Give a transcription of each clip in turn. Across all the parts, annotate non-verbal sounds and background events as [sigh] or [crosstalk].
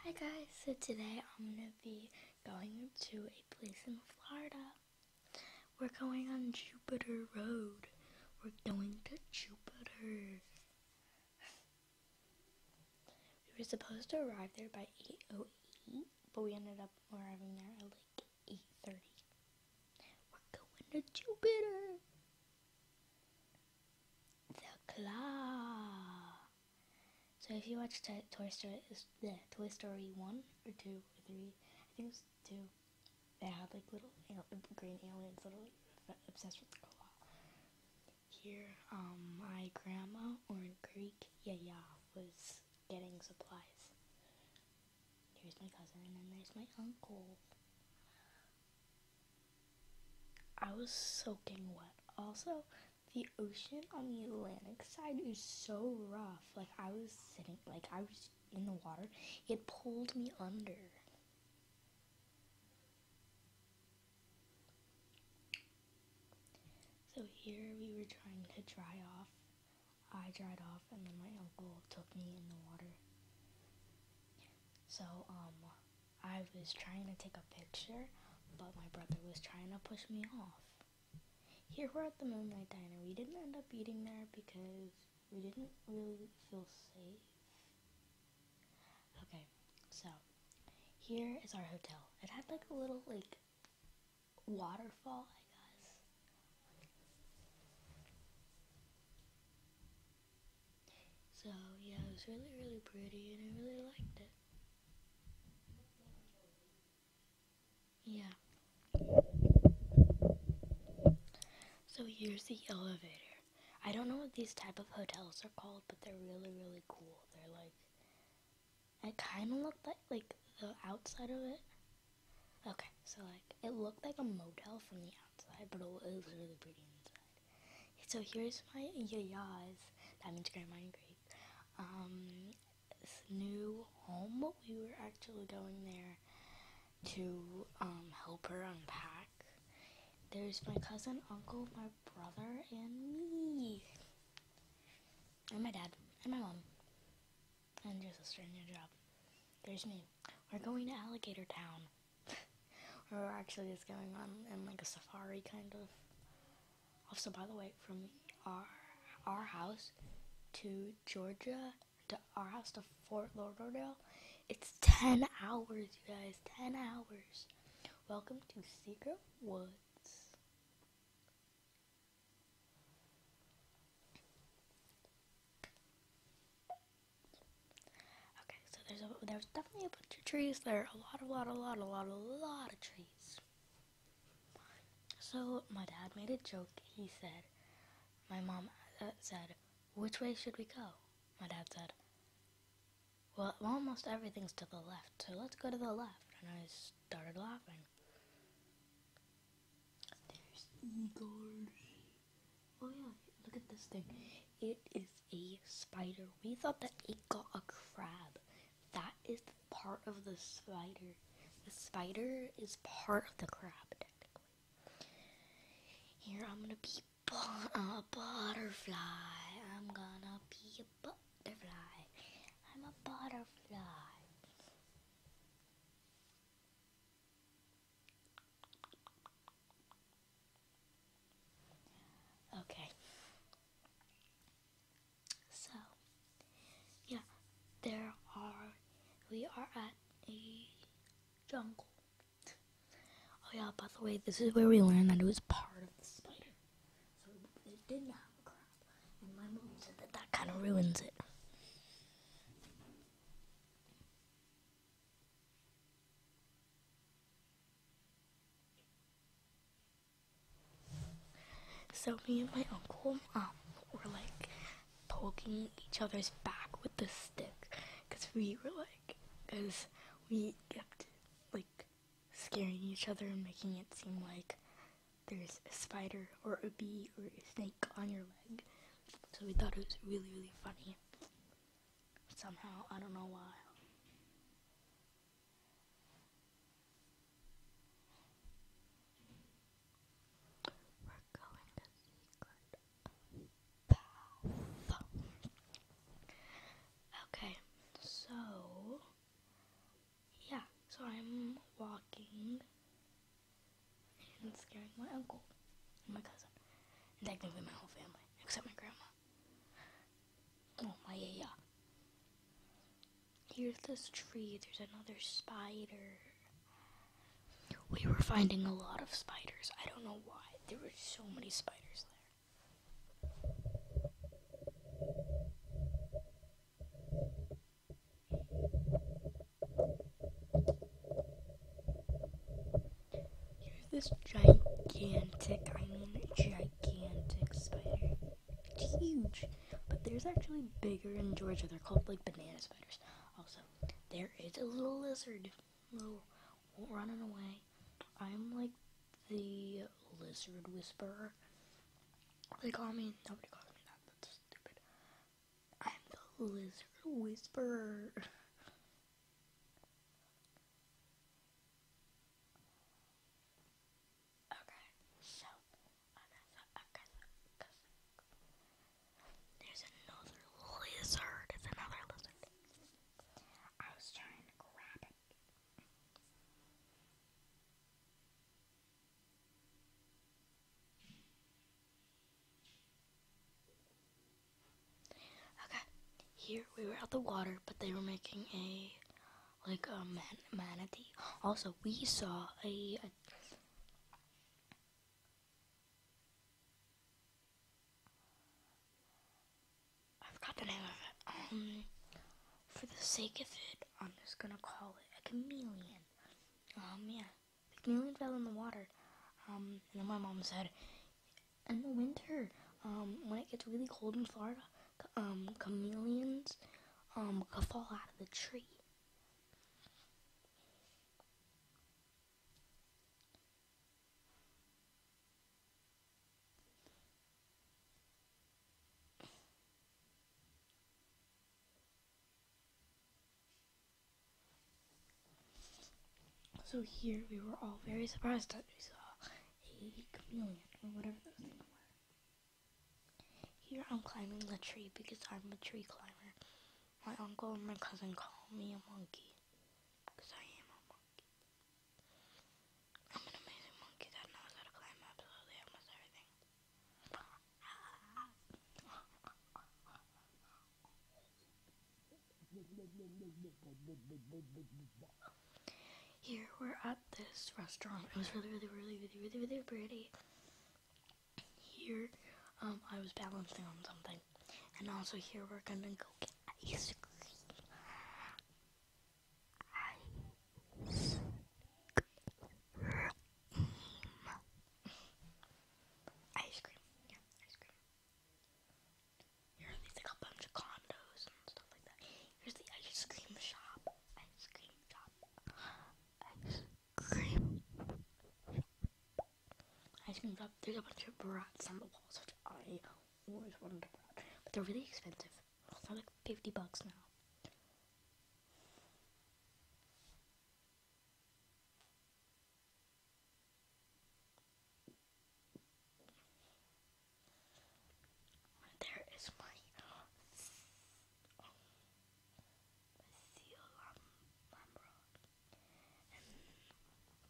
Hi guys, so today I'm going to be going to a place in Florida. We're going on Jupiter Road. We're going to Jupiter. We were supposed to arrive there by 8.08, but we ended up arriving there at like 8.30. We're going to Jupiter the claw. So if you watch Toy Story, yeah, Toy Story one or two or three, I think it was two. They had like little green aliens, literally obsessed with the claw. Here, um, my grandma or in Greek, yeah, yeah, was getting supplies. Here's my cousin, and then there's my uncle. I was soaking wet. Also, the ocean on the Atlantic side is so rough. Like I was sitting, like I was in the water. It pulled me under. So here we were trying to dry off. I dried off, and then my uncle took me in the water. So um, I was trying to take a picture, but my brother was trying to push me off. Here we're at the Moonlight Diner. We didn't end up eating there because we didn't really feel safe. Okay, so here is our hotel. It had like a little like waterfall, I guess. So yeah, it was really, really pretty and I really liked it. Yeah. So here's the elevator. I don't know what these type of hotels are called, but they're really, really cool. They're like, it kind of looked like, like the outside of it. Okay, so like, it looked like a motel from the outside outside, but it looks really pretty inside. So here's my yaya's, that means grandma and grape, um, new home. We were actually going there to um, help her unpack. There's my cousin, uncle, my brother, and me. And my dad, and my mom, and your sister, and your job. There's me. We're going to Alligator Town. [laughs] Or actually it's going on in like a safari kind of. Also, by the way, from our our house to Georgia to our house to Fort Lauderdale, it's ten hours, you guys. Ten hours. Welcome to Secret Woods. Okay, so there's there's definitely a bunch of trees. There are a lot, a lot, a lot, a lot, a lot of trees. So my dad made a joke. He said, my mom uh, said, which way should we go? My dad said, well, almost everything's to the left, so let's go to the left. And I started laughing. Oh yeah, look at this thing. It is a spider. We thought that it got a crab. That is part of the spider. The spider is part of the crab, technically. Here, I'm gonna be a butterfly. I'm gonna be a butterfly. I'm a butterfly. Okay. So, yeah, there are, we are at a jungle. Oh yeah, by the way, this is where we learned that it was part of the spider. So it didn't have a crab. And my mom said that that kind of ruins it. So me and my uncle um, were like poking each other's back with the stick because we were like, because we kept like scaring each other and making it seem like there's a spider or a bee or a snake on your leg. So we thought it was really, really funny. Somehow, I don't know why. We're going to secret Okay, so yeah, so I'm walking and scaring my uncle and my cousin. And technically my whole family, except my grandma. Oh, my yeah. Here's this tree. There's another spider. We were finding a lot of spiders. I don't know why. There were so many spiders there. Here's this gigantic, I mean gigantic spider. It's huge, but there's actually bigger in Georgia. They're called like banana spiders. Also, there is a little lizard. Little running away. I'm like the lizard whisperer. They call me, nobody calls me that that's stupid. I'm the lizard whisperer. okay, so okay, so, there's another lizard. It's another lizard. I was trying to grab it. Okay, here we were at the water, but they were making a like a manatee. Also, we saw a, a I forgot the name of it. Um, for the sake of it, I'm just gonna call it a chameleon. Um, yeah, oh, the chameleon fell in the water. Um, and then my mom said, in the winter, um, when it gets really cold in Florida, um, chameleons, could fall out of the tree. So here we were all very surprised that we saw a chameleon, or whatever those things were. Here I'm climbing the tree because I'm a tree climber. My uncle and my cousin call me a monkey because I am a monkey. Here we're at this restaurant. It was really, really, really, really, really, really pretty. Here, um, I was balancing on something, and also here we're gonna go get ice cream ice cream. Ice cream, yeah, ice cream. Here are a bunch of condos and stuff like that. Here's the ice cream shop. Ice cream shop. Ice cream. Ice cream shop. There's a bunch of brats on the walls, which I always wanted a but they're really expensive for like 50 bucks now. There is my um, seal um,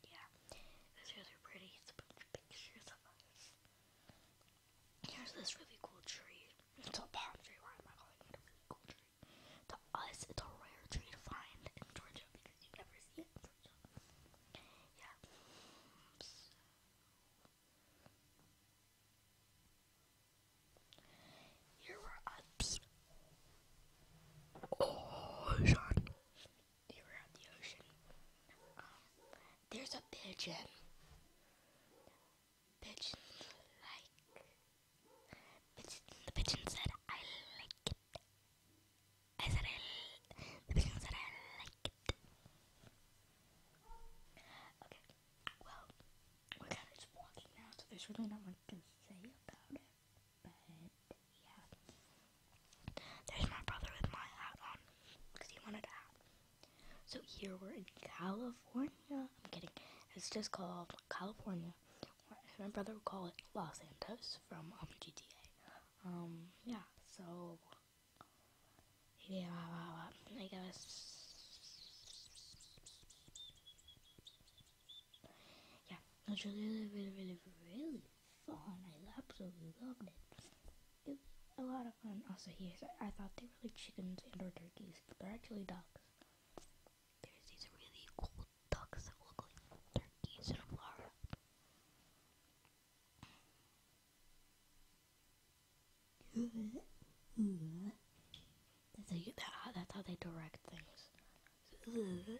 yeah, those shows are pretty. It's a bunch of pictures of us. Here's this really cool tree. It's a palm tree. Why am I calling it a really cool tree? To us, it's a rare tree to find in Georgia because you never see it in Georgia. Yeah. You're at the ocean. You're at the ocean. Um, there's a pigeon. Pigeon like. Pigeon, the pigeon said, "I like it." I said, "I." The pigeon said, "I like it." Okay well, we're kind of just walking now, so there's really not much to say about it. But yeah, there's my brother with my hat on because he wanted a So here we're in California. I'm kidding. It's just called California. My brother would call it Los Santos from um, GTA. Um, yeah. So Hediye var var var. I Yeah, it was really, really, really, really fun. I absolutely loved it. It was a lot of fun. Also, here, I thought they were like chickens and or turkeys. But they're actually ducks. There's these really cool ducks that look like turkeys in flower. That's how, they direct things.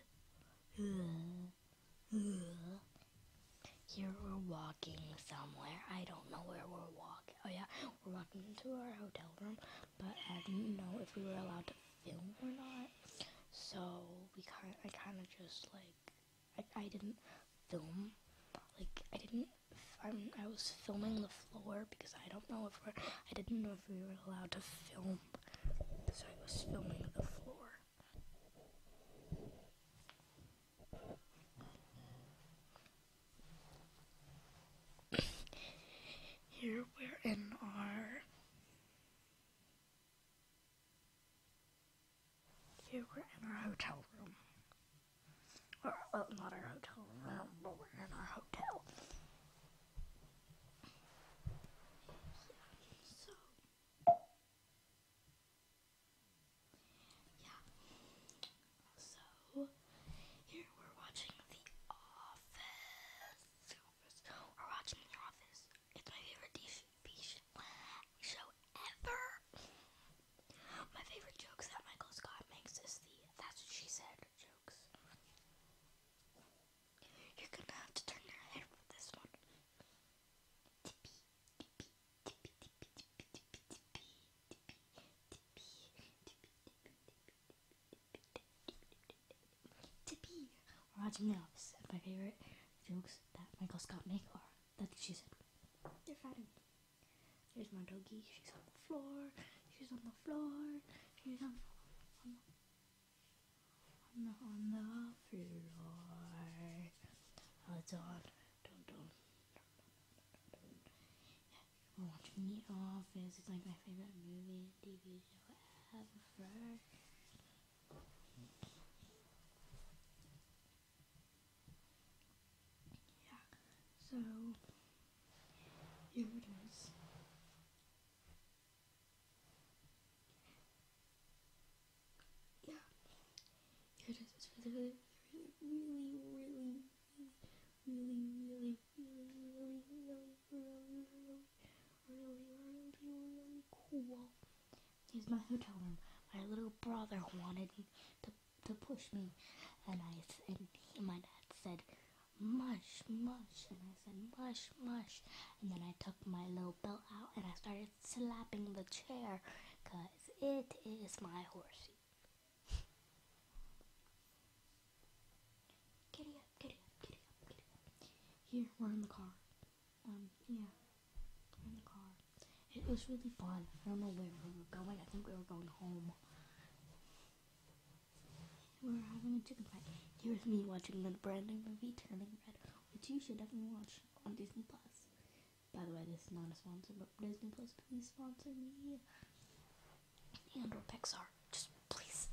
Here we're walking somewhere. I don't know where we're walking. Oh yeah, we're walking into our hotel room, but I didn't know if we were allowed to film or not. So we kind, I kind of just like, I didn't film. Like I didn't I'm, I was filming the floor because I don't know if we're, I didn't know if we were allowed to film, so I was filming the floor. Here we're in our here we're in our hotel room. Or, uh, not our hotel room, uh, but we're in our hotel. So, yeah. So, here we're watching The Office. We're watching The Office. It's my favorite TV show ever. My favorite jokes that Michael Scott makes is the that's what she said jokes. You're gonna have to turn your head with this one. Tippy, tippy, tippy, tippy, tippy, tippy, tippy, tippy, tippy, tippy, tippy. We're watching The Office, and my favorite jokes that Michael Scott makes are that's what she said. They're fighting. There's my doggy. She's on the floor. She's on the floor. She's on, on the on the, on the floor. it's on. Don't don't. We're watching The Office. It's like my favorite movie TV show ever. Yeah, so here it is. Yeah, here it is. really, really, really, really, really, really, really, really, really, really, really cool. Here's my hotel room. My little brother wanted to to push me, and I and my dad said, "Mush, mush," and I said, "Mush, mush," and then I took my little belt out and I started slapping the chair, cause it is my horse. [laughs] Giddy up, giddy up, giddy up, giddy up. Here, we're in the car. Um, yeah. in the car. It was really fun. I don't know where we were going. I think we were going home. We were having a chicken fight. Here's me watching the brand movie, Turning Red, which you should definitely watch on Disney Plus. By the way, this is not a sponsor, but Disney Plus, please sponsor me. And or Pixar. Just please,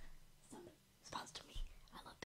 sponsor me. I love